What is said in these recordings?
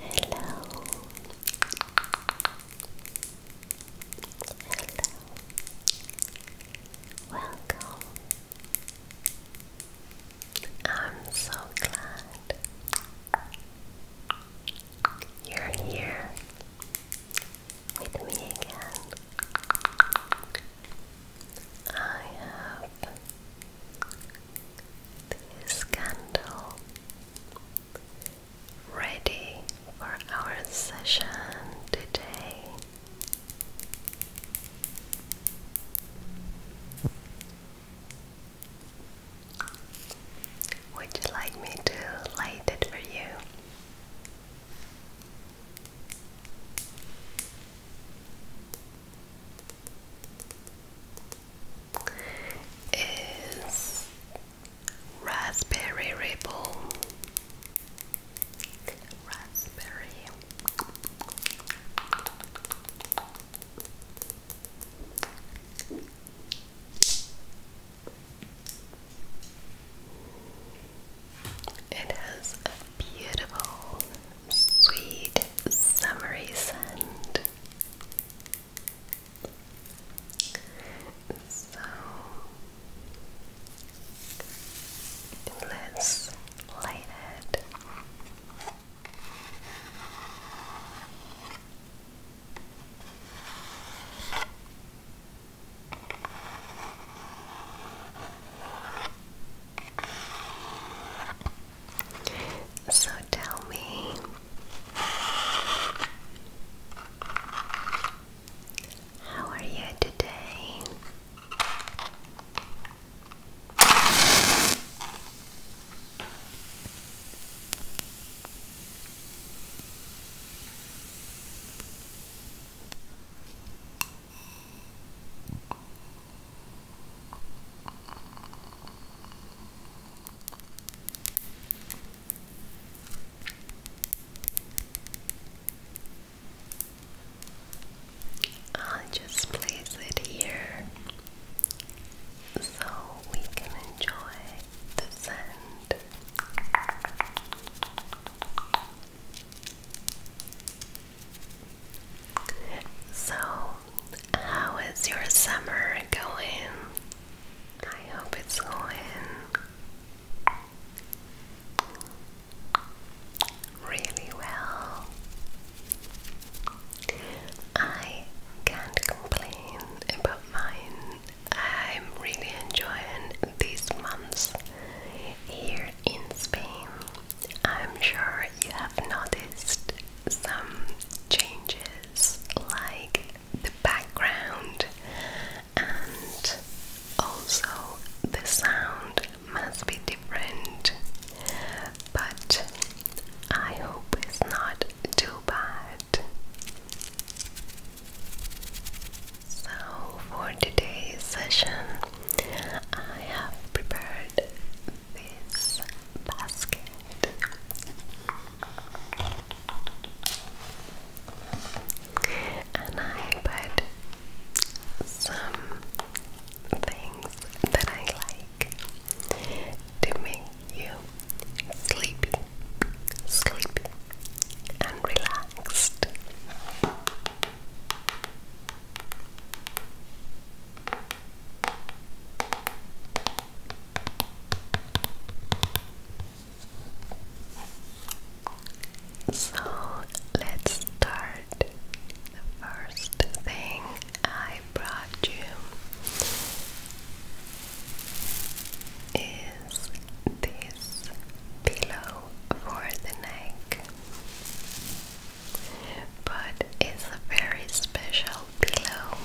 Hello. Hello. Welcome. I'm so glad you're here with me again. I have this candle ready for our session today. Would you like me to light it for you? is raspberry ripple raspberry it has a beautiful sweet summery scent. So let so tell me, how are you today? I'll just place it here so we can enjoy the sand. So, how is your summer going? I hope it's going really well. I can't complain about mine. I'm really enjoying these months here in Spain. I'm sure you have noticed some changes like the background and also the sound must be different, but I hope it's not too bad. So, for today's session, I have prepared this basket. And I put some things that I like to make you sleepy, sleepy, and relaxed. So let's start. The first thing I brought you is this pillow for the neck but it's a very special pillow.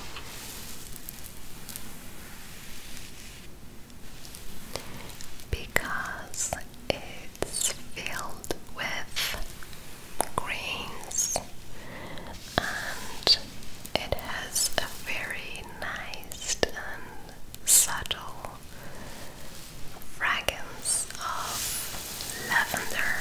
Because it's filled with grains and it has a very nice and subtle fragile of lavender.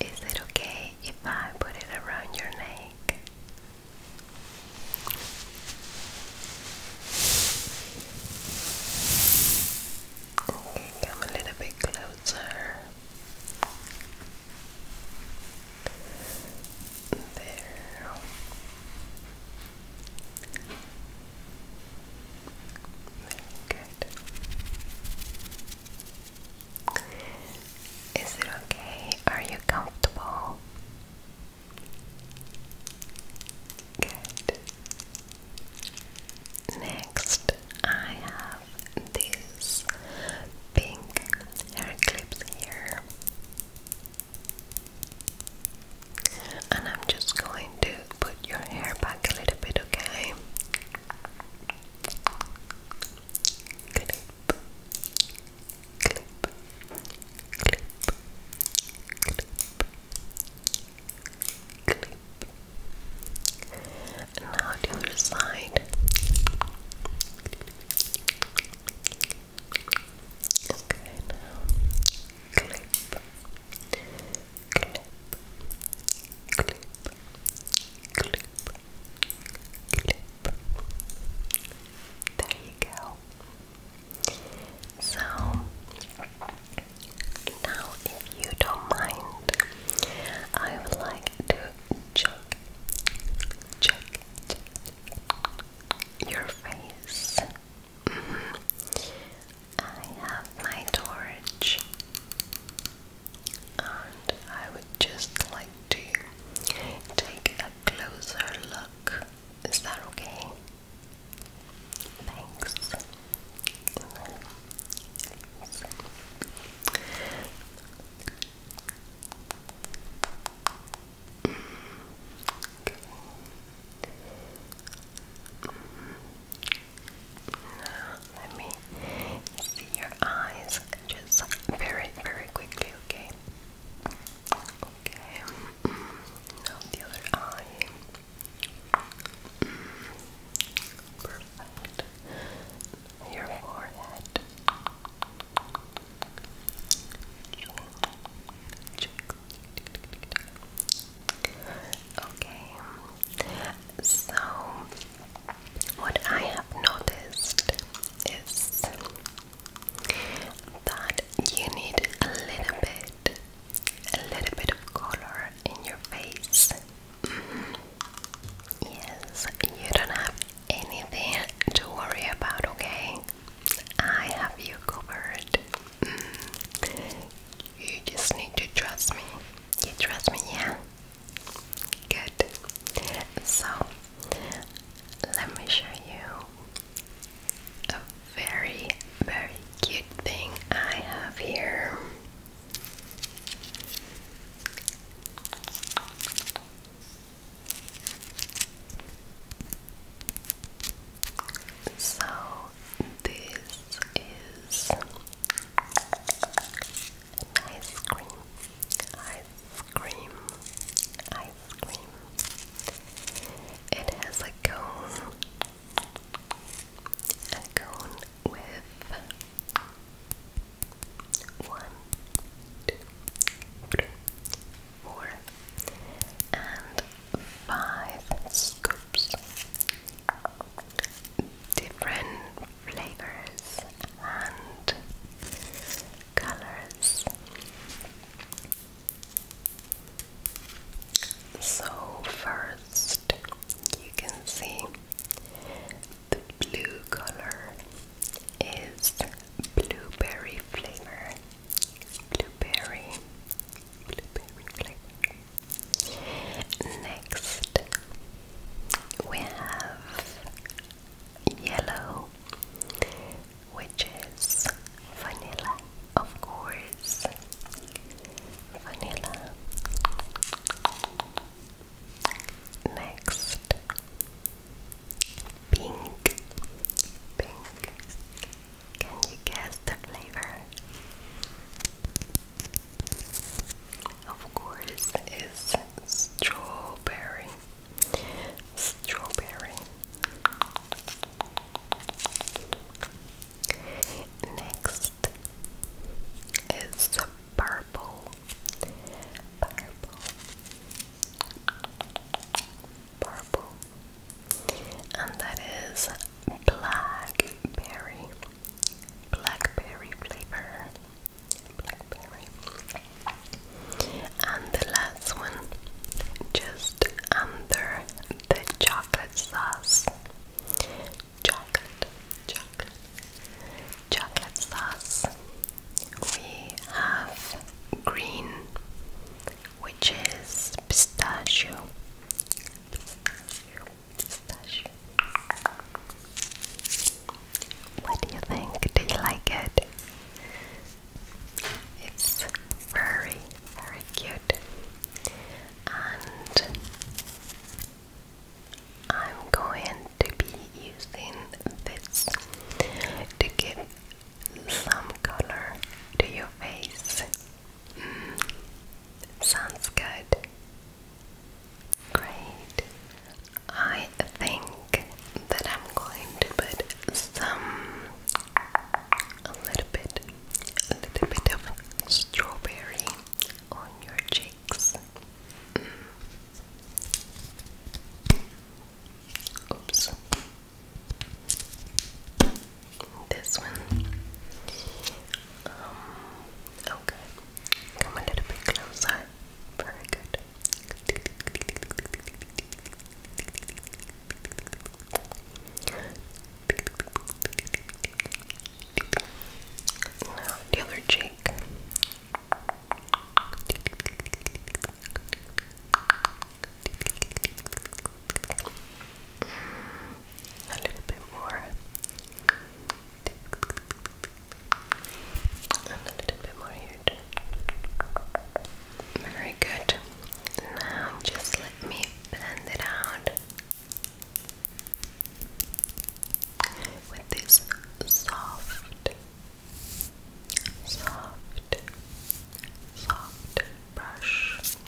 Is it okay if I put it around your neck? Come a little bit closer. There. good. Is it okay? Are you comfortable? Good. Next, I have these pink hair clips here. And I'm just going to put your hair back a little bit, okay? Clip, clip, clip, clip, Clip. And now the other side. Okay, now clip, clip, clip, clip, clip. There you go. So now, if you don't mind, I would like to check, check, your face. Mm-hmm. I have my torch, and I would just like to take a closer look. Is that okay? Thanks. Okay. let me see your eyes just very, very quickly, okay? Okay, now the other eye. Perfect. Your forehead. Okay. So what I have noticed is that you need a little bit a little bit of color in your face. Mm-hmm. Yes, you don't have anything to worry about, okay? I have you covered. Mm. You just need to trust me. You trust me, yeah? Good. So, let me show you a very, very cute thing I have here. So, this is ice cream, ice cream, ice cream. It has a cone I'm with one, two, three, four, and five scoops. Different flavors and colors. So, first you can see the blue color is blueberry flavor. Blueberry, blueberry flavor. Next, we have yellow, which is vanilla of course, vanilla. Next, pink. Pink. Can you guess the flavor? Of course, is strawberry. Strawberry. Next is purple, purple, purple, and that is blackberry, blackberry flavor, blackberry. And the last one, just under the chocolate sauce. Chocolate, chocolate, sauce. We have green, which is pistachio. pistachio. What do you think? Do you like it? It's very, very cute and I'm going to be using this to give some color to your face. Mm. sounds good. Great. I think that I'm going to put some a little bit a little bit of strawberry on your cheeks. Mm. Oops. This one. Um, okay. Come a little bit closer. Very good. Now, the other cheek. A little bit more. And a little bit more here Very good. Now just let me blend it out with this soft, soft, soft brush. Slide.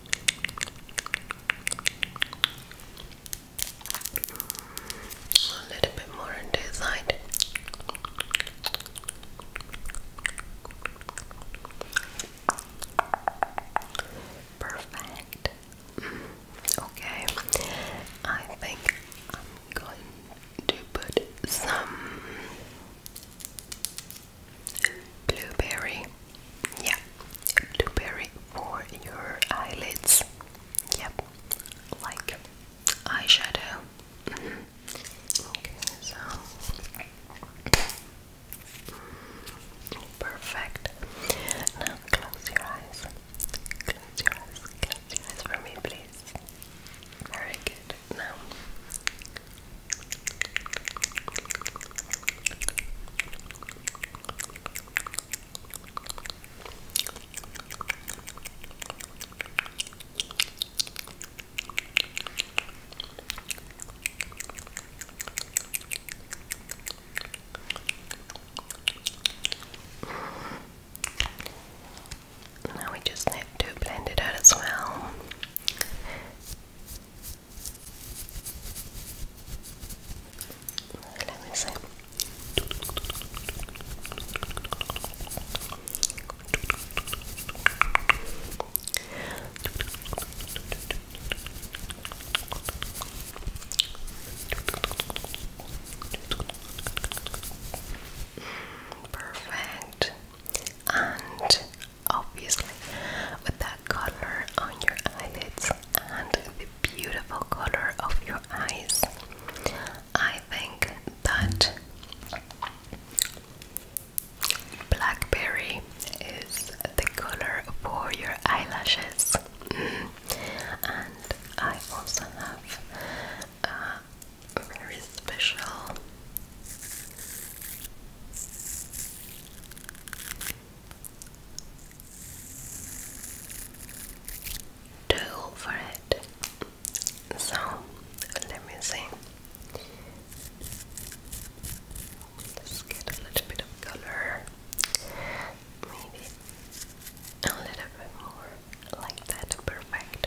A little bit more on this side. Perfect. Okay, I think I'm going to put some Blueberry. Yeah. Blueberry for your eyelids. Yep. Like eyeshadow. perfect. Now close your eyes. Close your eyes. Close your eyes for me, please. Very good. Now now we just need to blend it out as well. Perfect. And obviously, with that color on your eyelids and the beautiful color of your eyes. I think that blackberry is the color for your eyelashes. And I also have a very special tool for it. So let me see. let get a little bit of color. Maybe a little bit more like that. Perfect.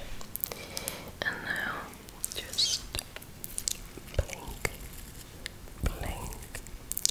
And now just blink, blink,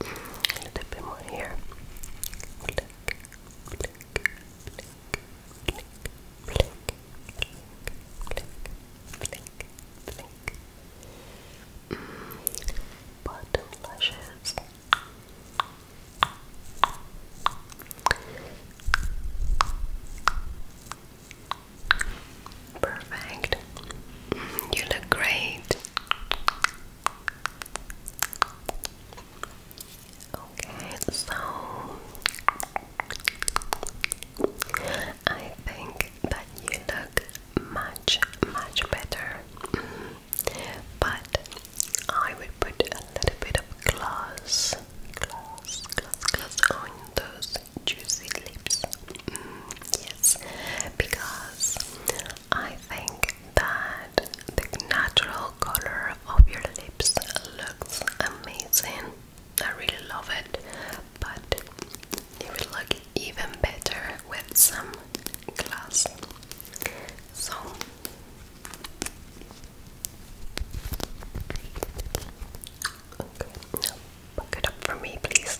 a little bit more here. Bottom lashes. Perfect. You look great. Okay, so I think that you look much, much better. But I will put a little bit of gloss, gloss, gloss, gloss on those juicy lips. Mm, yes, because I think that the natural color of your lips looks amazing. I really love it, but it would look even better with some glass. So Okay, up for me, please.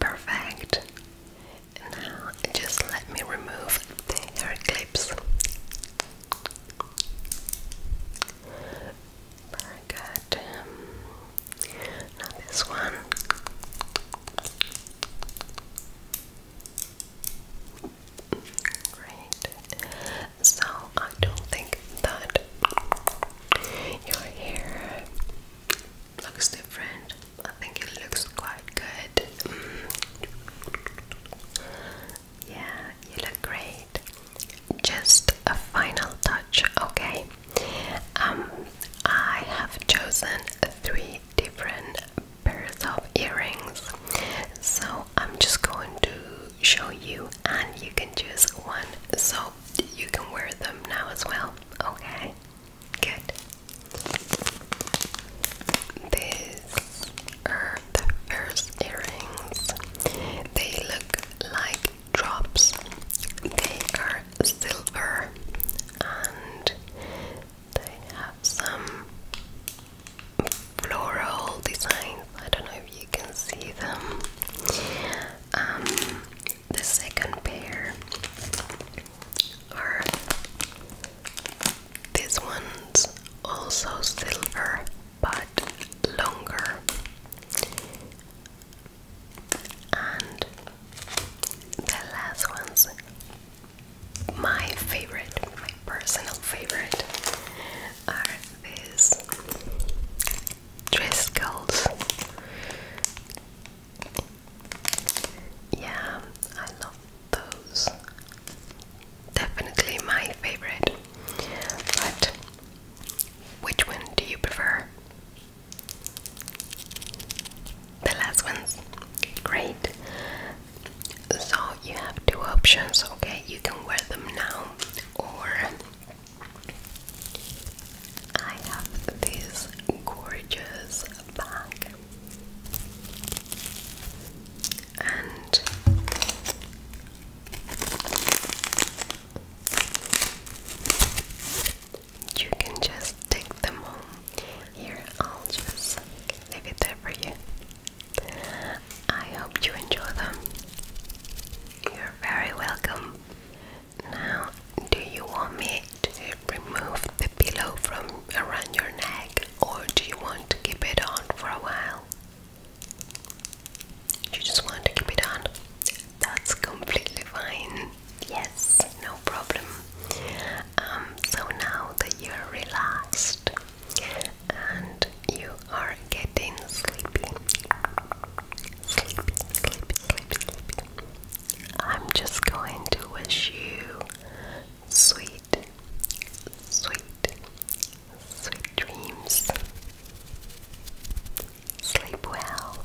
Perfect. Now just let me remove the hair clips. Very good. Now this one. Great. So I don't think that your hair looks different. I think it looks quite good. Mm. Yeah, you look great. Just a final touch, okay? Um, I have chosen three different pairs of earrings. So I'm just going to show you, and you can choose one so you can wear them now as well. Okay, good. These are the first earrings, they look like drops, they are silver and they have some floral designs. I don't know if you can see them. Um, the second pair are this one's also silver but longer. And the last one's my favorite, my personal favorite, are these Driscoll's. Yeah, I love those. Definitely my favorite. But which one do you prefer? The last one's great. So you have two options, okay? You can wear them now, or I have this gorgeous bag, and you can just take them home. Here, I'll just leave it there for you. I hope you enjoy them. You're very welcome. Now, do you want me to remove the pillow from around your neck or do you want to keep it on for a while? You just want to keep it on? That's completely fine. Yes, no problem. Um, so now that you're relaxed and you are getting sleepy, sleepy, sleepy, sleepy, sleepy, I'm just going to wish you sweet, sweet, sweet dreams. Sleep well.